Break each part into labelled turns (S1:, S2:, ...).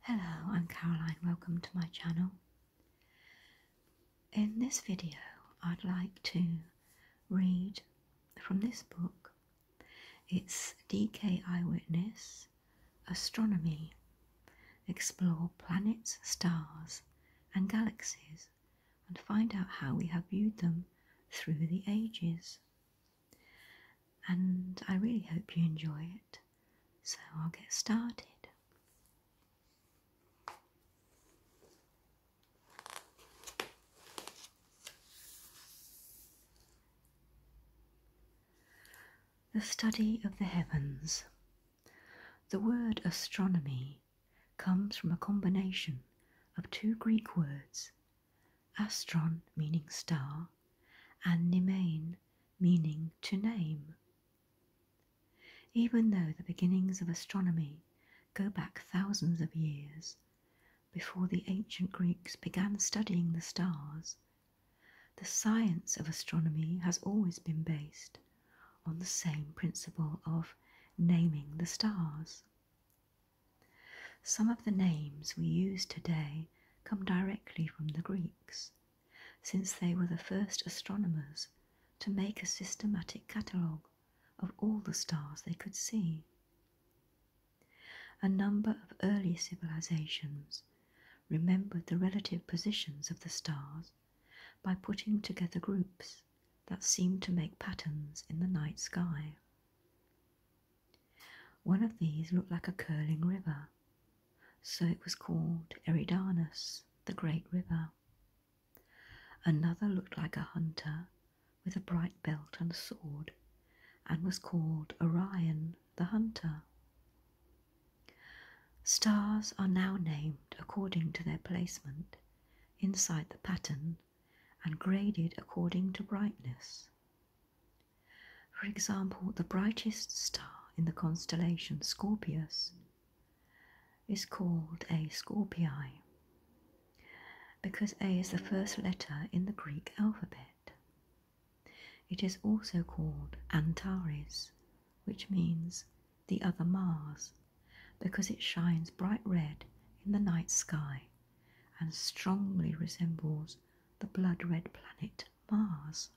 S1: Hello, I'm Caroline. Welcome to my channel. In this video, I'd like to read from this book. It's DK Eyewitness Astronomy Explore Planets, Stars, and Galaxies and find out how we have viewed them through the ages and I really hope you enjoy it. So I'll get started. The study of the heavens. The word astronomy comes from a combination of two Greek words astron meaning star, and nimain meaning to name. Even though the beginnings of astronomy go back thousands of years before the ancient Greeks began studying the stars, the science of astronomy has always been based on the same principle of naming the stars. Some of the names we use today come directly from the Greeks, since they were the first astronomers to make a systematic catalogue of all the stars they could see. A number of early civilizations remembered the relative positions of the stars by putting together groups that seemed to make patterns in the night sky. One of these looked like a curling river, so it was called Eridanus, the Great River. Another looked like a hunter with a bright belt and sword, and was called Orion the Hunter. Stars are now named according to their placement inside the pattern and graded according to brightness. For example, the brightest star in the constellation Scorpius is called a Scorpii because A is the first letter in the Greek alphabet. It is also called Antares, which means the other Mars, because it shines bright red in the night sky and strongly resembles the blood red planet Mars.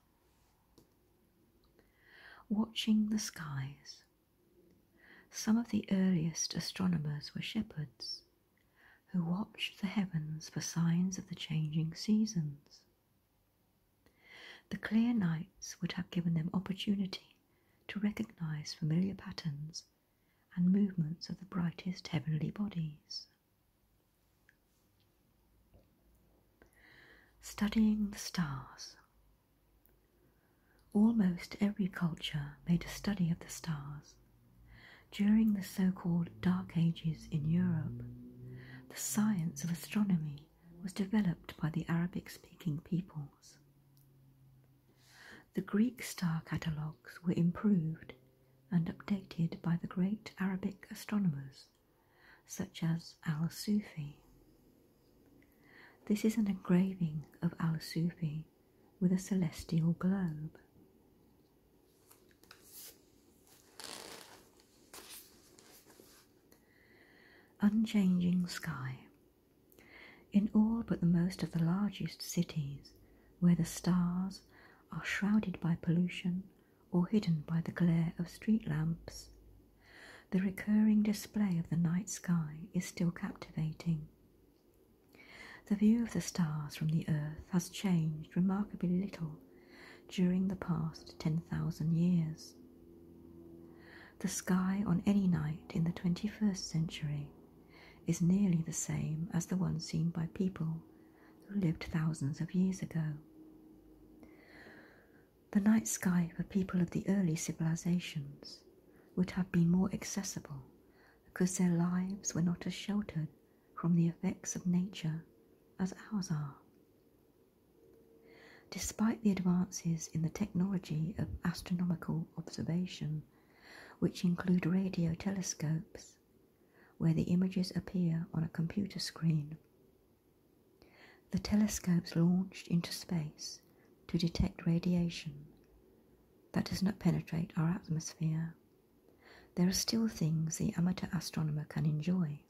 S1: Watching the skies. Some of the earliest astronomers were shepherds who watched the heavens for signs of the changing seasons. The clear nights would have given them opportunity to recognize familiar patterns and movements of the brightest heavenly bodies. Studying the stars. Almost every culture made a study of the stars. During the so called Dark Ages in Europe, the science of astronomy was developed by the Arabic speaking peoples. The Greek star catalogues were improved and updated by the great Arabic astronomers such as Al Sufi. This is an engraving of Al Sufi with a celestial globe. Unchanging sky. In all but the most of the largest cities, where the stars are shrouded by pollution or hidden by the glare of street lamps. The recurring display of the night sky is still captivating. The view of the stars from the earth has changed remarkably little during the past 10,000 years. The sky on any night in the 21st century is nearly the same as the one seen by people who lived thousands of years ago. The night sky for people of the early civilizations would have been more accessible because their lives were not as sheltered from the effects of nature as ours are. Despite the advances in the technology of astronomical observation, which include radio telescopes, where the images appear on a computer screen. The telescopes launched into space to detect radiation that does not penetrate our atmosphere. There are still things the amateur astronomer can enjoy.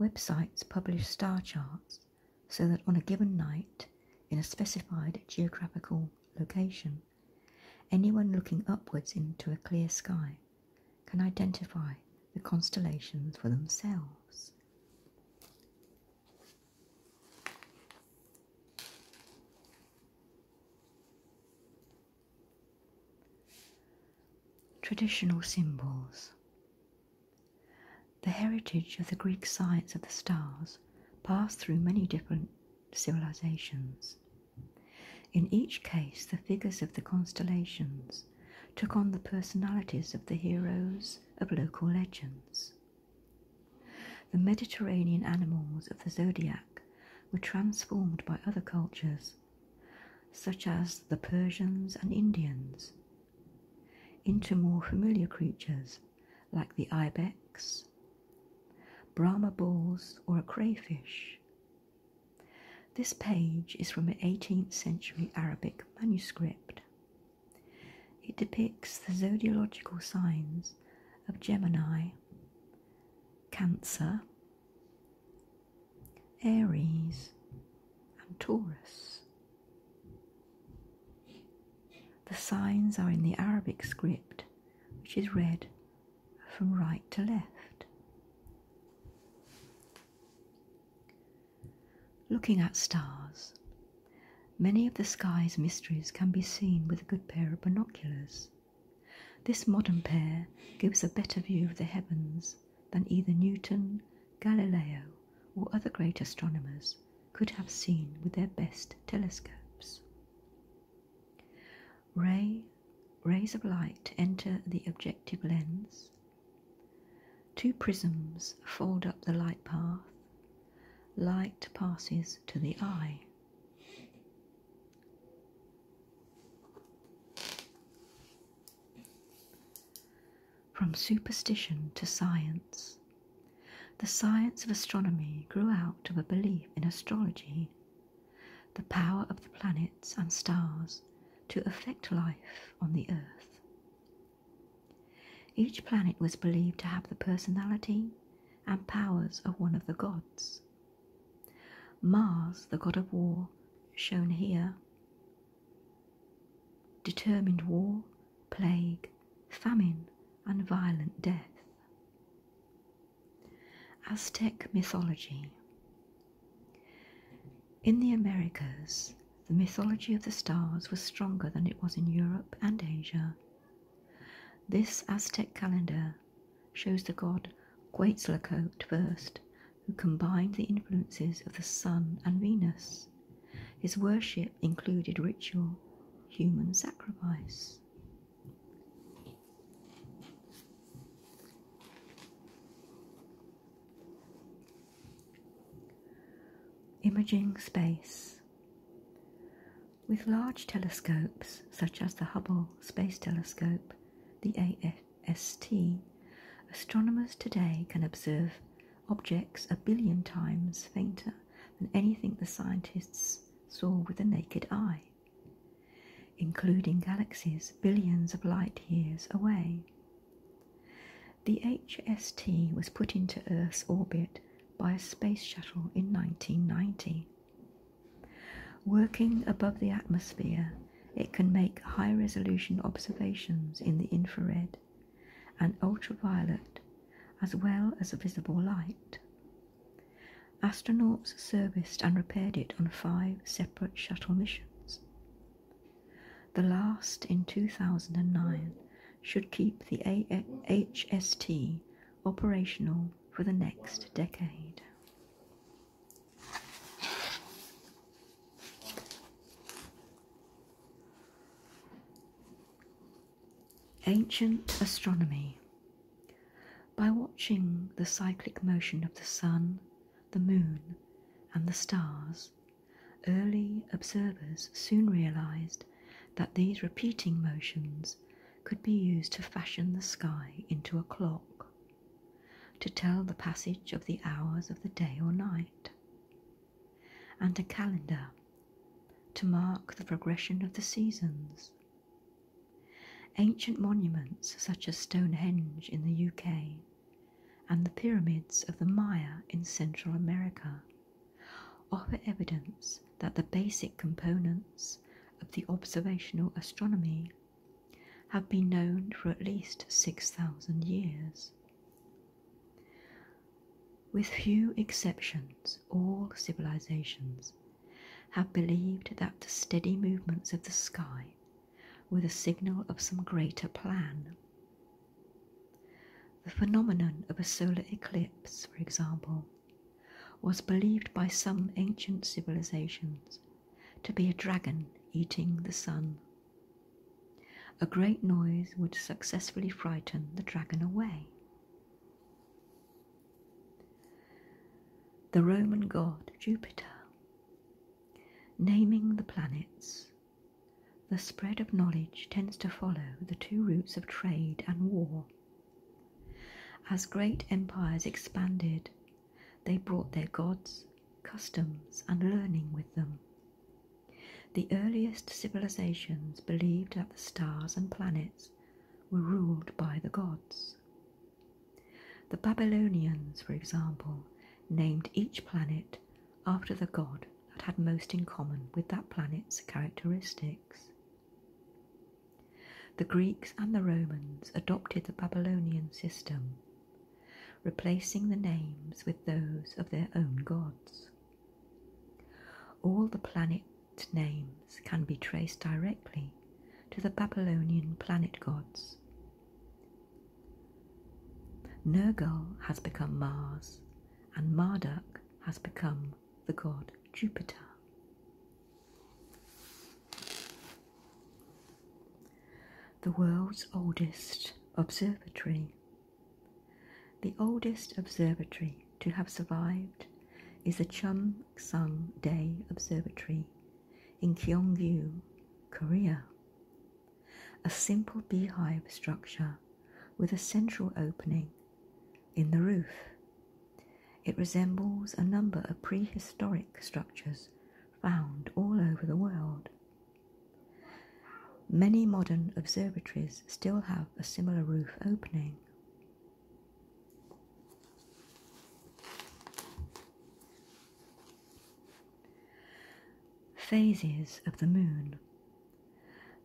S1: Websites publish star charts so that on a given night, in a specified geographical location, Anyone looking upwards into a clear sky can identify the constellations for themselves. Traditional symbols. The heritage of the Greek science of the stars passed through many different civilizations. In each case, the figures of the constellations took on the personalities of the heroes of local legends. The Mediterranean animals of the zodiac were transformed by other cultures, such as the Persians and Indians, into more familiar creatures like the ibex, Brahma bulls, or a crayfish, this page is from an 18th century Arabic manuscript. It depicts the zodiacal signs of Gemini, Cancer, Aries, and Taurus. The signs are in the Arabic script, which is read from right to left. Looking at stars, many of the sky's mysteries can be seen with a good pair of binoculars. This modern pair gives a better view of the heavens than either Newton, Galileo, or other great astronomers could have seen with their best telescopes. Ray, rays of light enter the objective lens. Two prisms fold up the light path. Light passes to the eye. From superstition to science, the science of astronomy grew out of a belief in astrology the power of the planets and stars to affect life on the Earth. Each planet was believed to have the personality and powers of one of the gods. Mars, the god of war, shown here, determined war, plague, famine, and violent death. Aztec mythology. In the Americas, the mythology of the stars was stronger than it was in Europe and Asia. This Aztec calendar shows the god Quetzalcoatl first, who combined the influences of the sun and Venus. His worship included ritual, human sacrifice. Imaging space. With large telescopes such as the Hubble Space Telescope, the AST, astronomers today can observe objects a billion times fainter than anything the scientists saw with the naked eye including galaxies billions of light years away. The HST was put into Earth's orbit by a space shuttle in 1990. Working above the atmosphere, it can make high resolution observations in the infrared and ultraviolet as well as visible light. Astronauts serviced and repaired it on five separate shuttle missions. The last in 2009 should keep the HST operational for the next decade. Ancient Astronomy by watching the cyclic motion of the sun, the moon, and the stars, early observers soon realized that these repeating motions could be used to fashion the sky into a clock, to tell the passage of the hours of the day or night, and a calendar to mark the progression of the seasons Ancient monuments such as Stonehenge in the UK and the pyramids of the Maya in Central America offer evidence that the basic components of the observational astronomy have been known for at least 6,000 years. With few exceptions, all civilizations have believed that the steady movements of the sky were the signal of some greater plan. The phenomenon of a solar eclipse, for example, was believed by some ancient civilizations to be a dragon eating the sun. A great noise would successfully frighten the dragon away. The Roman god Jupiter, naming the planets. The spread of knowledge tends to follow the two routes of trade and war. As great empires expanded, they brought their gods, customs, and learning with them. The earliest civilizations believed that the stars and planets were ruled by the gods. The Babylonians, for example, named each planet after the god that had most in common with that planet's characteristics. The Greeks and the Romans adopted the Babylonian system, replacing the names with those of their own gods. All the planet names can be traced directly to the Babylonian planet gods. Nergal has become Mars, and Marduk has become the god Jupiter. The world's oldest observatory. The oldest observatory to have survived is a Chum Sung Day Observatory in Kyongju, Korea. A simple beehive structure with a central opening in the roof. It resembles a number of prehistoric structures found all over the world. Many modern observatories still have a similar roof opening. Phases of the moon.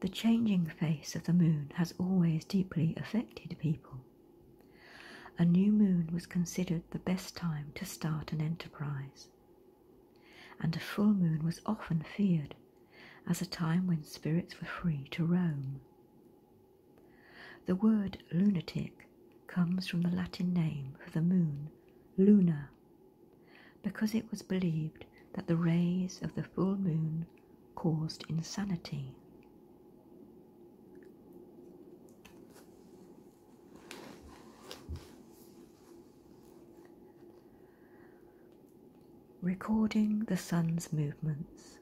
S1: The changing face of the moon has always deeply affected people. A new moon was considered the best time to start an enterprise, and a full moon was often feared as a time when spirits were free to roam. The word lunatic comes from the Latin name for the moon, Luna, because it was believed that the rays of the full moon caused insanity. Recording the sun's movements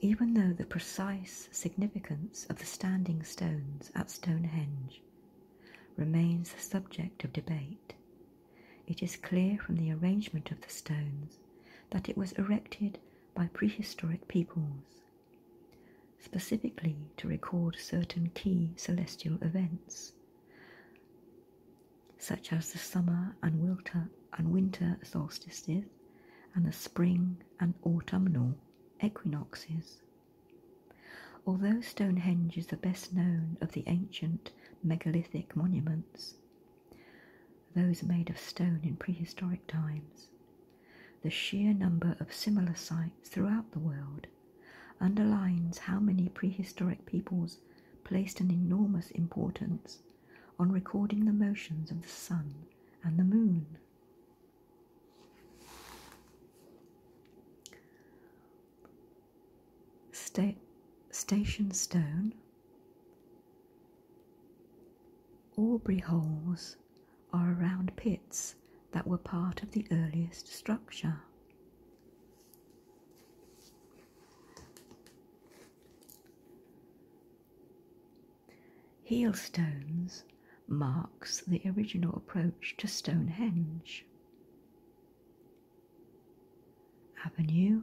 S1: even though the precise significance of the standing stones at Stonehenge remains the subject of debate. It is clear from the arrangement of the stones that it was erected by prehistoric peoples, specifically to record certain key celestial events, such as the summer and winter solstices and the spring and autumnal equinoxes. Although Stonehenge is the best known of the ancient megalithic monuments, those made of stone in prehistoric times, the sheer number of similar sites throughout the world underlines how many prehistoric peoples placed an enormous importance on recording the motions of the sun and the moon. Station Stone, Aubrey holes are around pits that were part of the earliest structure. Heel stones marks the original approach to Stonehenge. Avenue,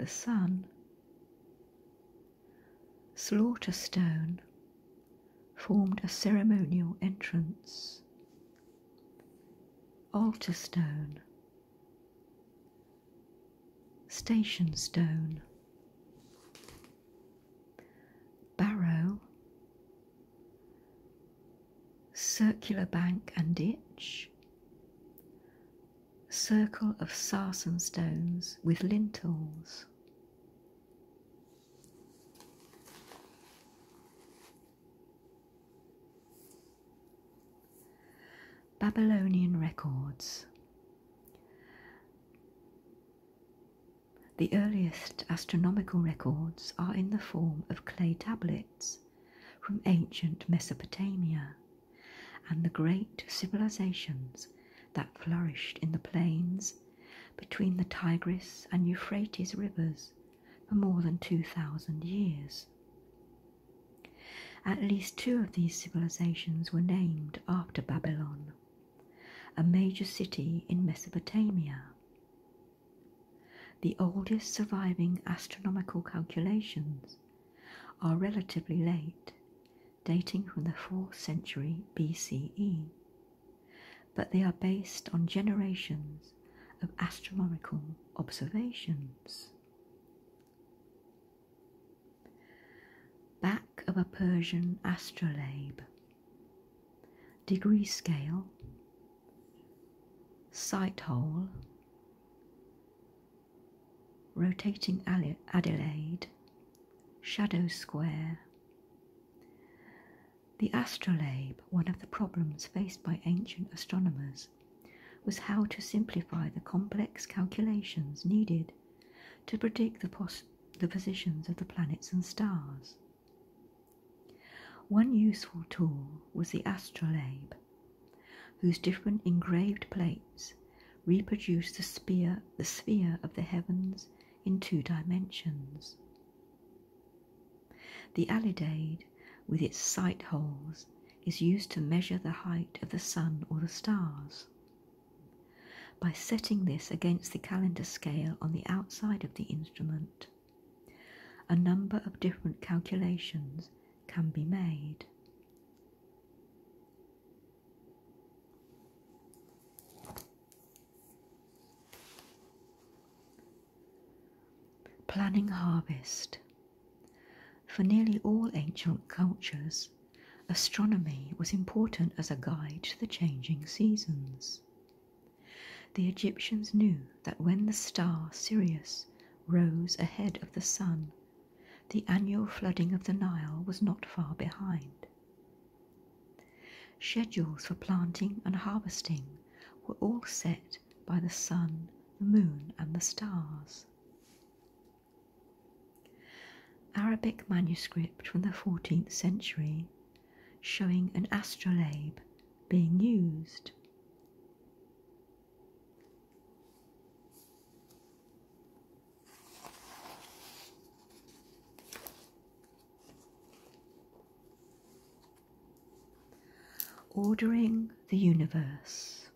S1: the sun, slaughter stone formed a ceremonial entrance. Altar stone, Station Stone, Barrow, Circular Bank and Ditch, Circle of Sarsen Stones with Lintels. Babylonian Records the earliest astronomical records are in the form of clay tablets from ancient Mesopotamia and the great civilizations that flourished in the plains between the Tigris and Euphrates rivers for more than 2,000 years. At least two of these civilizations were named after Babylon a major city in Mesopotamia. The oldest surviving astronomical calculations are relatively late, dating from the 4th century BCE, but they are based on generations of astronomical observations. Back of a Persian astrolabe. Degree scale. Sight hole. Rotating Adelaide. Shadow square. The astrolabe, one of the problems faced by ancient astronomers, was how to simplify the complex calculations needed to predict the, positions of the planets and stars. One useful tool was the astrolabe, whose different engraved plates reproduce the sphere, the sphere of the heavens in two dimensions. The alidade, with its sight holes, is used to measure the height of the sun or the stars by setting this against the calendar scale on the outside of the instrument. A number of different calculations can be made. Planning harvest. For nearly all ancient cultures, astronomy was important as a guide to the changing seasons. The Egyptians knew that when the star Sirius rose ahead of the sun, the annual flooding of the Nile was not far behind. Schedules for planting and harvesting were all set by the sun, the moon, and the stars. Arabic manuscript from the 14th century showing an astrolabe being used. Ordering the Universe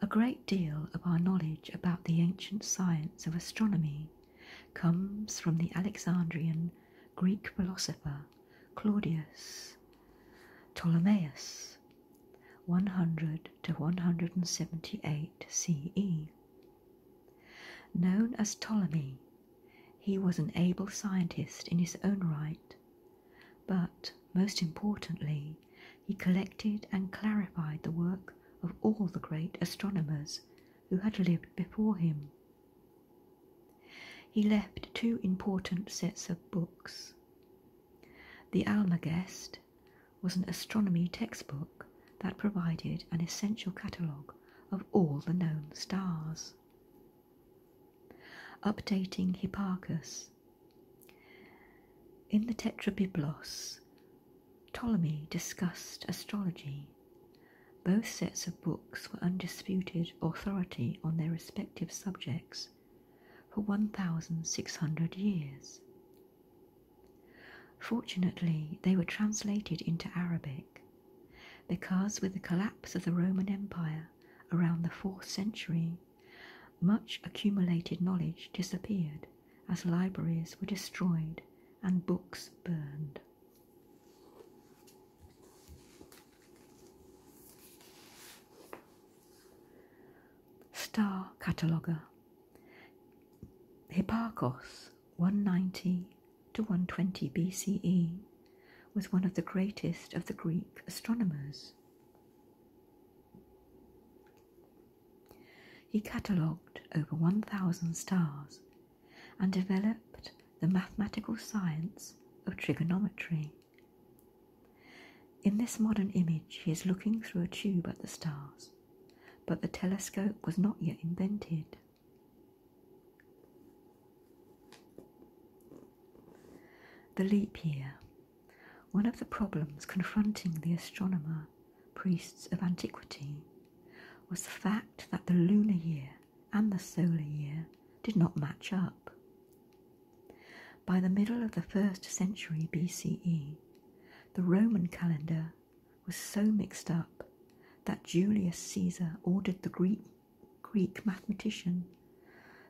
S1: a great deal of our knowledge about the ancient science of astronomy comes from the Alexandrian Greek philosopher Claudius Ptolemaeus 100 to 178 CE. Known as Ptolemy, he was an able scientist in his own right, but most importantly, he collected and clarified the work of all the great astronomers who had lived before him. He left two important sets of books. The Almagest was an astronomy textbook that provided an essential catalogue of all the known stars. Updating Hipparchus. In the Tetrabiblos, Ptolemy discussed astrology. Both sets of books were undisputed authority on their respective subjects for 1,600 years. Fortunately, they were translated into Arabic because, with the collapse of the Roman Empire around the 4th century, much accumulated knowledge disappeared as libraries were destroyed and books burned. Star Cataloguer Hipparchos 190 to 120 BCE was one of the greatest of the Greek astronomers. He catalogued over 1,000 stars and developed the mathematical science of trigonometry. In this modern image, he is looking through a tube at the stars, but the telescope was not yet invented. The leap year one of the problems confronting the astronomer priests of antiquity was the fact that the lunar year and the solar year did not match up. By the middle of the first century BCE, the Roman calendar was so mixed up that Julius Caesar ordered the Greek, mathematician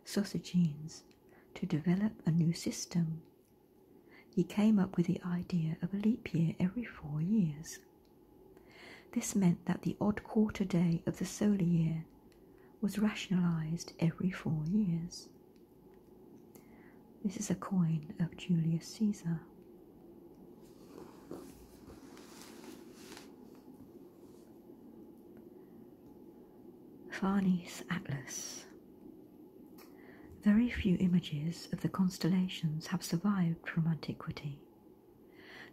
S1: Sosigenes to develop a new system he came up with the idea of a leap year every four years. This meant that the odd quarter day of the solar year was rationalized every four years. This is a coin of Julius Caesar. Farnese Atlas. Very few images of the constellations have survived from antiquity.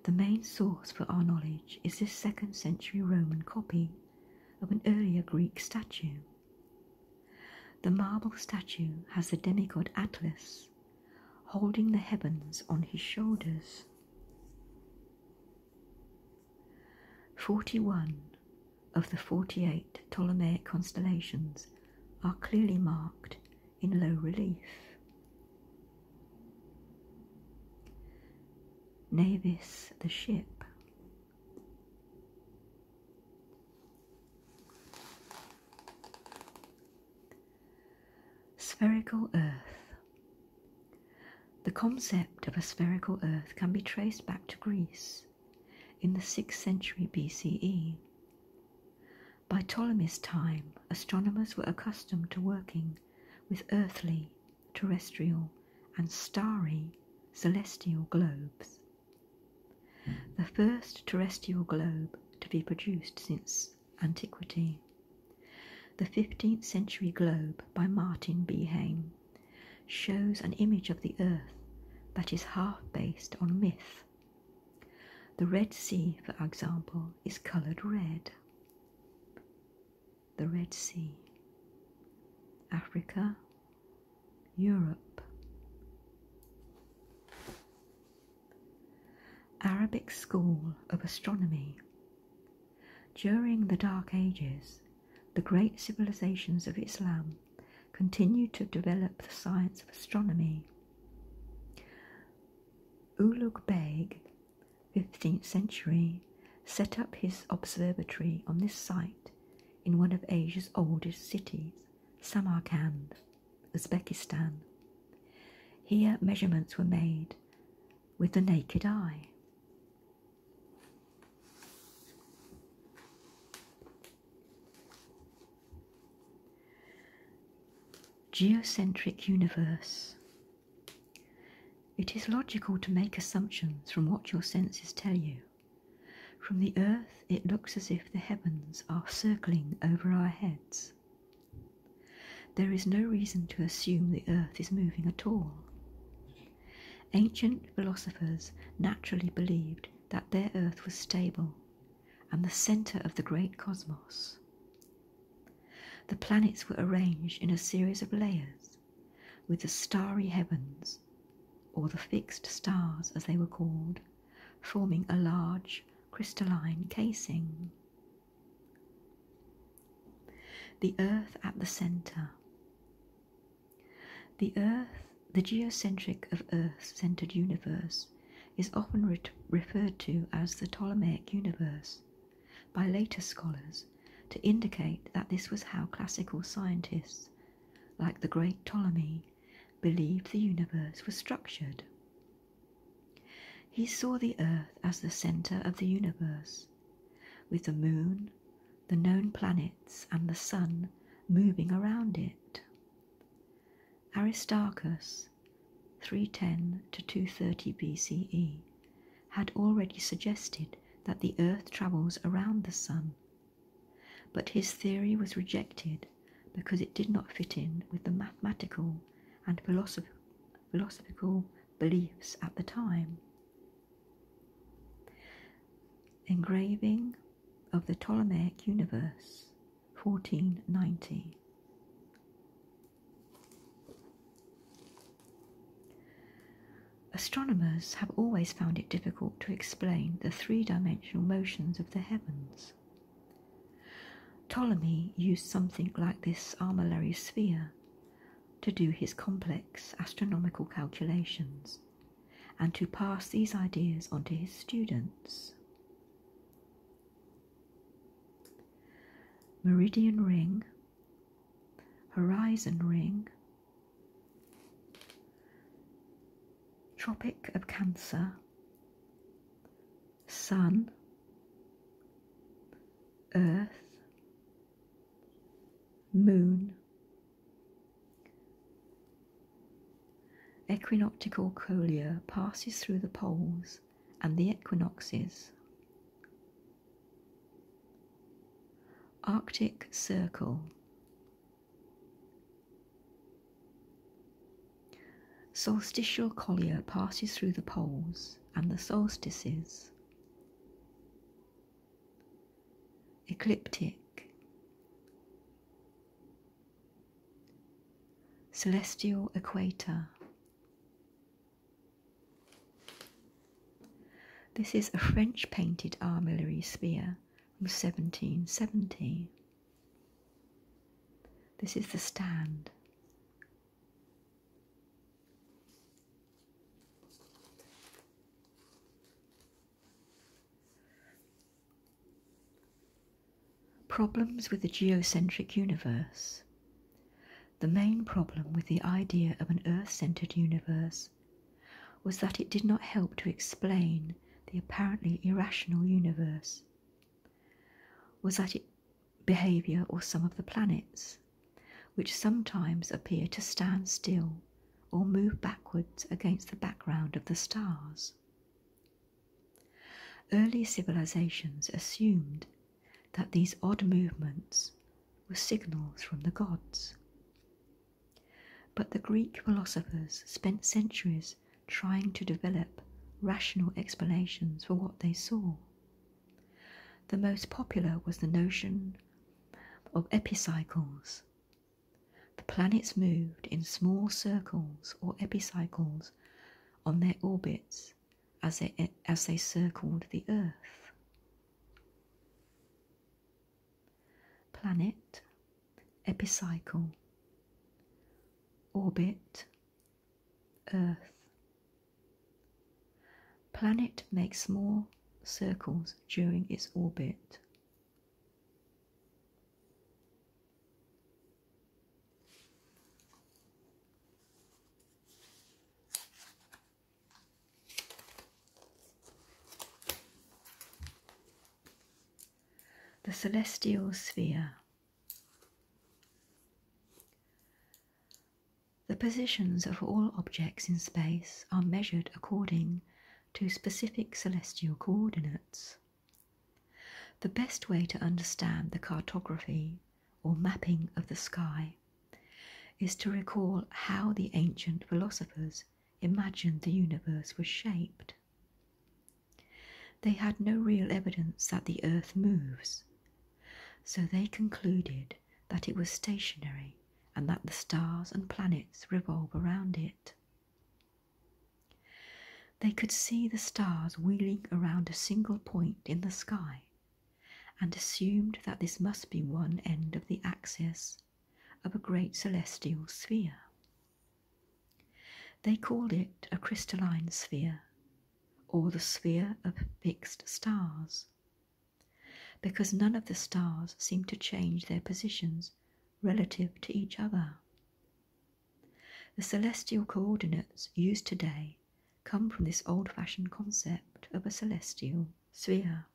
S1: The main source for our knowledge is this second century Roman copy of an earlier Greek statue. The marble statue has the demigod Atlas holding the heavens on his shoulders. 41 of the 48 Ptolemaic constellations are clearly marked in low relief. Navis, the ship. Spherical Earth. The concept of a spherical Earth can be traced back to Greece in the 6th century BCE. By Ptolemy's time, astronomers were accustomed to working with earthly, terrestrial, and starry celestial globes. The first terrestrial globe to be produced since antiquity. The 15th century globe by Martin Behaim shows an image of the earth that is half based on myth. The Red Sea, for example, is coloured red. The Red Sea, Africa, Europe. Arabic School of Astronomy. During the Dark Ages, the great civilizations of Islam continued to develop the science of astronomy. Ulugh Beg, 15th century, set up his observatory on this site in one of Asia's oldest cities, Samarkand, Uzbekistan. Here measurements were made with the naked eye. Geocentric universe. It is logical to make assumptions from what your senses tell you. From the earth, it looks as if the heavens are circling over our heads. There is no reason to assume the earth is moving at all. Ancient philosophers naturally believed that their Earth was stable and the centre of the great cosmos. The planets were arranged in a series of layers, with the starry heavens, or the fixed stars as they were called, forming a large crystalline casing. The Earth at the centre. The Earth, the geocentric of Earth-centered universe, is often referred to as the Ptolemaic universe by later scholars to indicate that this was how classical scientists, like the great Ptolemy, believed the universe was structured. He saw the Earth as the center of the universe, with the moon, the known planets, and the sun moving around it. Aristarchus, 310 to 230 BCE, had already suggested that the earth travels around the sun, but his theory was rejected because it did not fit in with the mathematical and philosophical beliefs at the time. Engraving of the Ptolemaic universe, 1490. Astronomers have always found it difficult to explain the three dimensional motions of the heavens. Ptolemy used something like this armillary sphere to do his complex astronomical calculations and to pass these ideas on to his students. Meridian ring, horizon ring, Tropic of Cancer, Sun, Earth, Moon, Equinoctial collier passes through the poles and the equinoxes. Arctic Circle Solstitial collier passes through the poles and the solstices. Ecliptic Celestial equator. This is a French painted armillary sphere from 1770. This is the stand. Problems with the geocentric universe. The main problem with the idea of an Earth centered universe was that it did not help to explain the apparently irrational universe. Was that its behaviour or some of the planets, which sometimes appear to stand still or move backwards against the background of the stars? Early civilizations assumed that these odd movements were signals from the gods. But the Greek philosophers spent centuries trying to develop rational explanations for what they saw. The most popular was the notion of epicycles, the planets moved in small circles or epicycles on their orbits as they, as they circled the Earth. Planet, epicycle, orbit, Earth. Planet makes small circles during its orbit. The celestial sphere. The positions of all objects in space are measured according to specific celestial coordinates. The best way to understand the cartography or mapping of the sky is to recall how the ancient philosophers imagined the universe was shaped. They had no real evidence that the earth moves, so they concluded that it was stationary and that the stars and planets revolve around it. They could see the stars wheeling around a single point in the sky and assumed that this must be one end of the axis of a great celestial sphere. They called it a crystalline sphere or the sphere of fixed stars because none of the stars seemed to change their positions relative to each other. The celestial coordinates used today come from this old fashioned concept of a celestial sphere.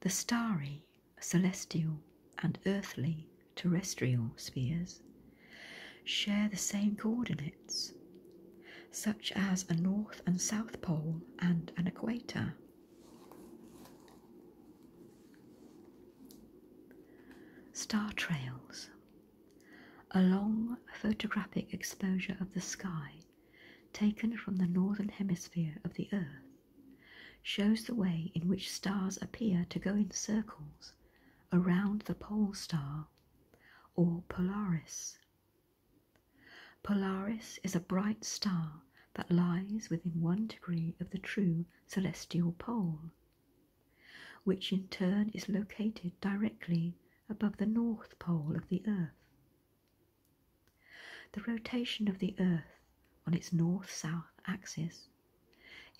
S1: The starry, celestial, and earthly terrestrial spheres share the same coordinates such as a north and south pole and an equator. Star trails. A long photographic exposure of the sky, taken from the northern hemisphere of the Earth, shows the way in which stars appear to go in circles around the pole star or Polaris. Polaris is a bright star that lies within one degree of the true celestial pole, which in turn is located directly above the north pole of the Earth. The rotation of the Earth on its north south axis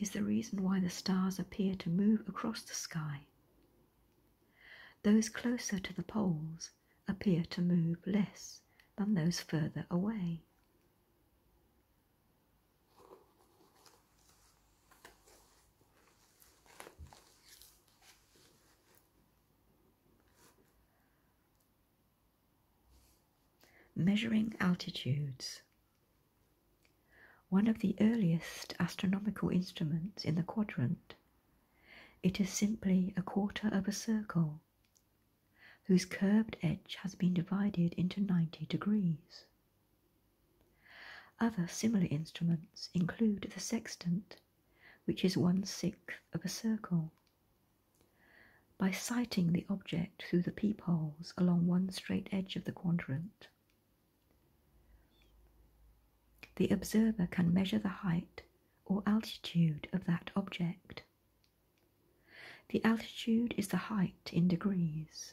S1: is the reason why the stars appear to move across the sky. Those closer to the poles appear to move less than those further away. Measuring altitudes. One of the earliest astronomical instruments in the quadrant it is simply a quarter of a circle whose curved edge has been divided into 90 degrees. Other similar instruments include the sextant, which is one sixth of a circle. By sighting the object through the peepholes along one straight edge of the quadrant, the observer can measure the height or altitude of that object. The altitude is the height in degrees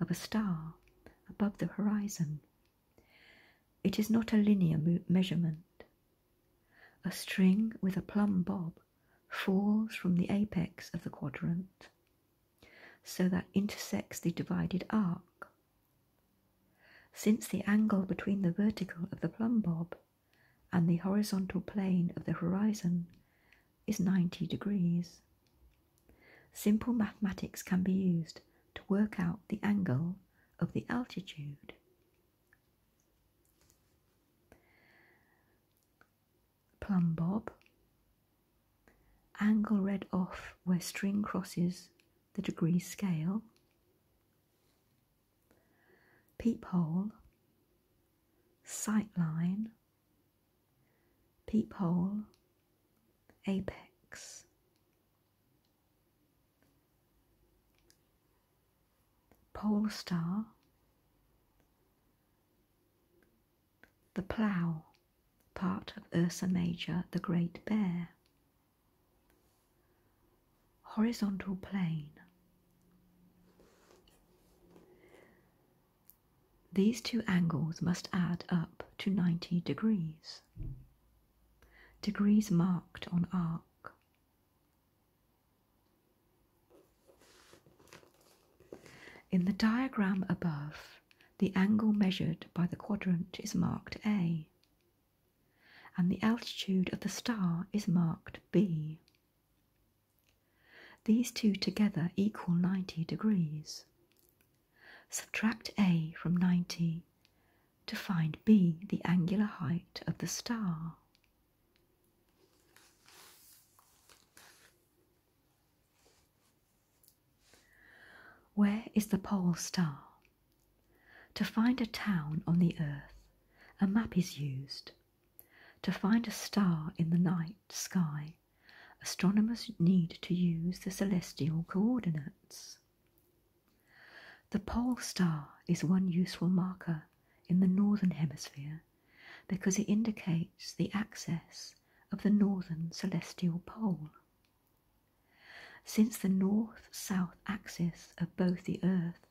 S1: of a star above the horizon. It is not a linear measurement. A string with a plumb bob falls from the apex of the quadrant so that intersects the divided arc since the angle between the vertical of the plumb bob and the horizontal plane of the horizon is 90 degrees, simple mathematics can be used to work out the angle of the altitude. Plumb bob, angle read off where string crosses the degree scale, peephole, sightline, peephole, apex. Pole star, the plough, part of Ursa Major, the Great Bear, horizontal plane. These two angles must add up to 90 degrees. Degrees marked on arc. In the diagram above, the angle measured by the quadrant is marked A and the altitude of the star is marked B. These two together equal 90 degrees. Subtract A from 90 to find B, the angular height of the star. Where is the pole star? To find a town on the earth, a map is used. To find a star in the night sky, astronomers need to use the celestial coordinates. The pole star is one useful marker in the northern hemisphere because it indicates the axis of the northern celestial pole. Since the north south axis of both the earth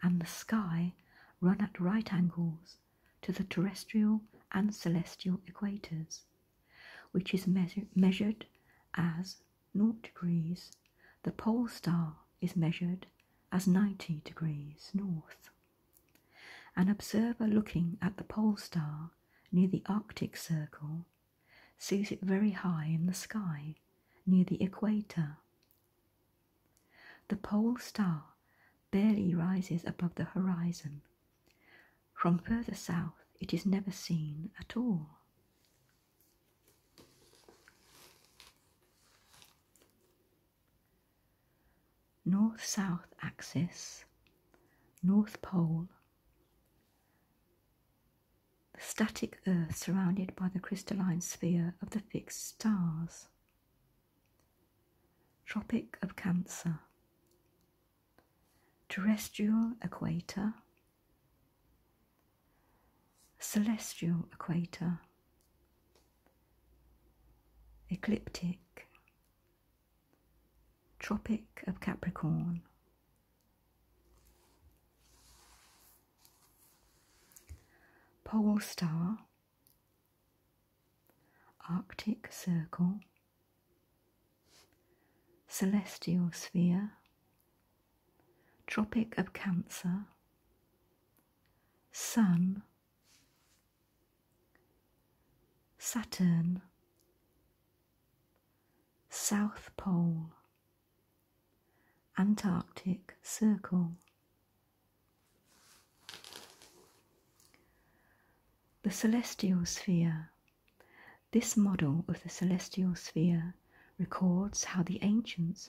S1: and the sky run at right angles to the terrestrial and celestial equators, which is measured as 0 degrees, the pole star is measured as 90 degrees north. An observer looking at the pole star near the Arctic Circle sees it very high in the sky near the equator. The pole star barely rises above the horizon. From further south, it is never seen at all. North South axis, North Pole, static Earth surrounded by the crystalline sphere of the fixed stars. Tropic of Cancer, terrestrial equator, celestial equator, ecliptic, Tropic of Capricorn. Pole Star, Arctic Circle, Celestial Sphere, Tropic of Cancer, Sun, Saturn, South Pole, Antarctic Circle. The celestial sphere. This model of the celestial sphere records how the ancients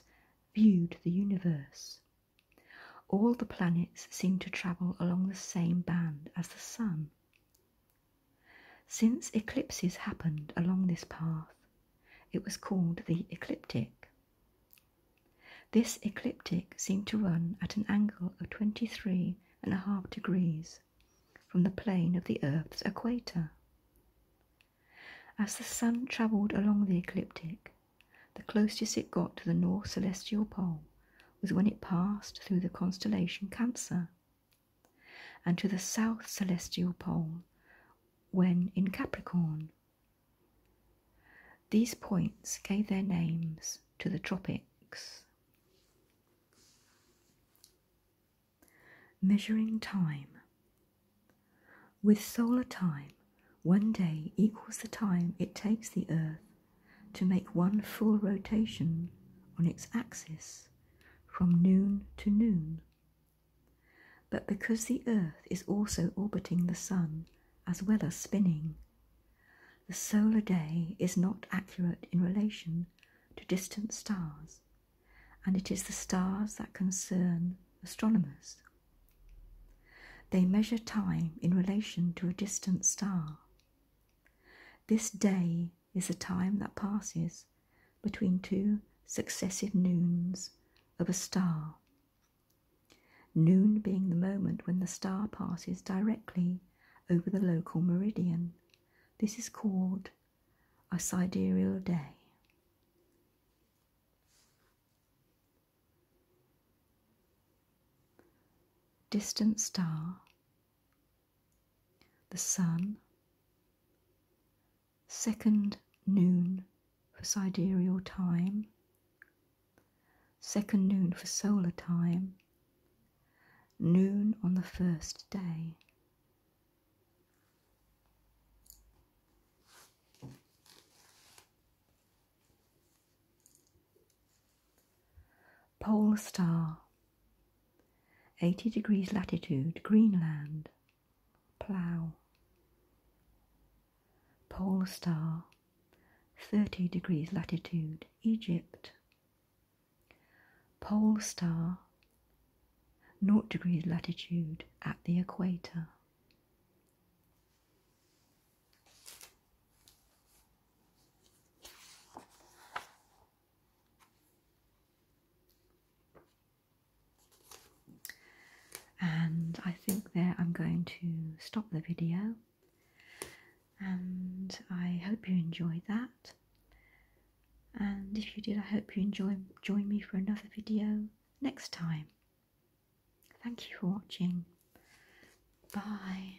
S1: viewed the universe. All the planets seem to travel along the same band as the sun. Since eclipses happened along this path, it was called the ecliptic. This ecliptic seemed to run at an angle of twenty-three and a half degrees from the plane of the Earth's equator. As the Sun travelled along the ecliptic, the closest it got to the north celestial pole was when it passed through the constellation Cancer and to the south celestial pole when in Capricorn. These points gave their names to the tropics. Measuring time. With solar time, one day equals the time it takes the Earth to make one full rotation on its axis from noon to noon. But because the Earth is also orbiting the Sun as well as spinning, the solar day is not accurate in relation to distant stars, and it is the stars that concern astronomers. They measure time in relation to a distant star. This day is the time that passes between two successive noons of a star. Noon being the moment when the star passes directly over the local meridian. This is called a sidereal day. Distant star, the sun, second noon for sidereal time, second noon for solar time, noon on the first day. Pole star, 80 degrees latitude, Greenland plough. Pole star, 30 degrees latitude, Egypt. Pole star, 0 degrees latitude at the equator. And I think there I'm going to stop the video. And I hope you enjoyed that. And if you did, I hope you enjoy join me for another video next time. Thank you for watching. Bye.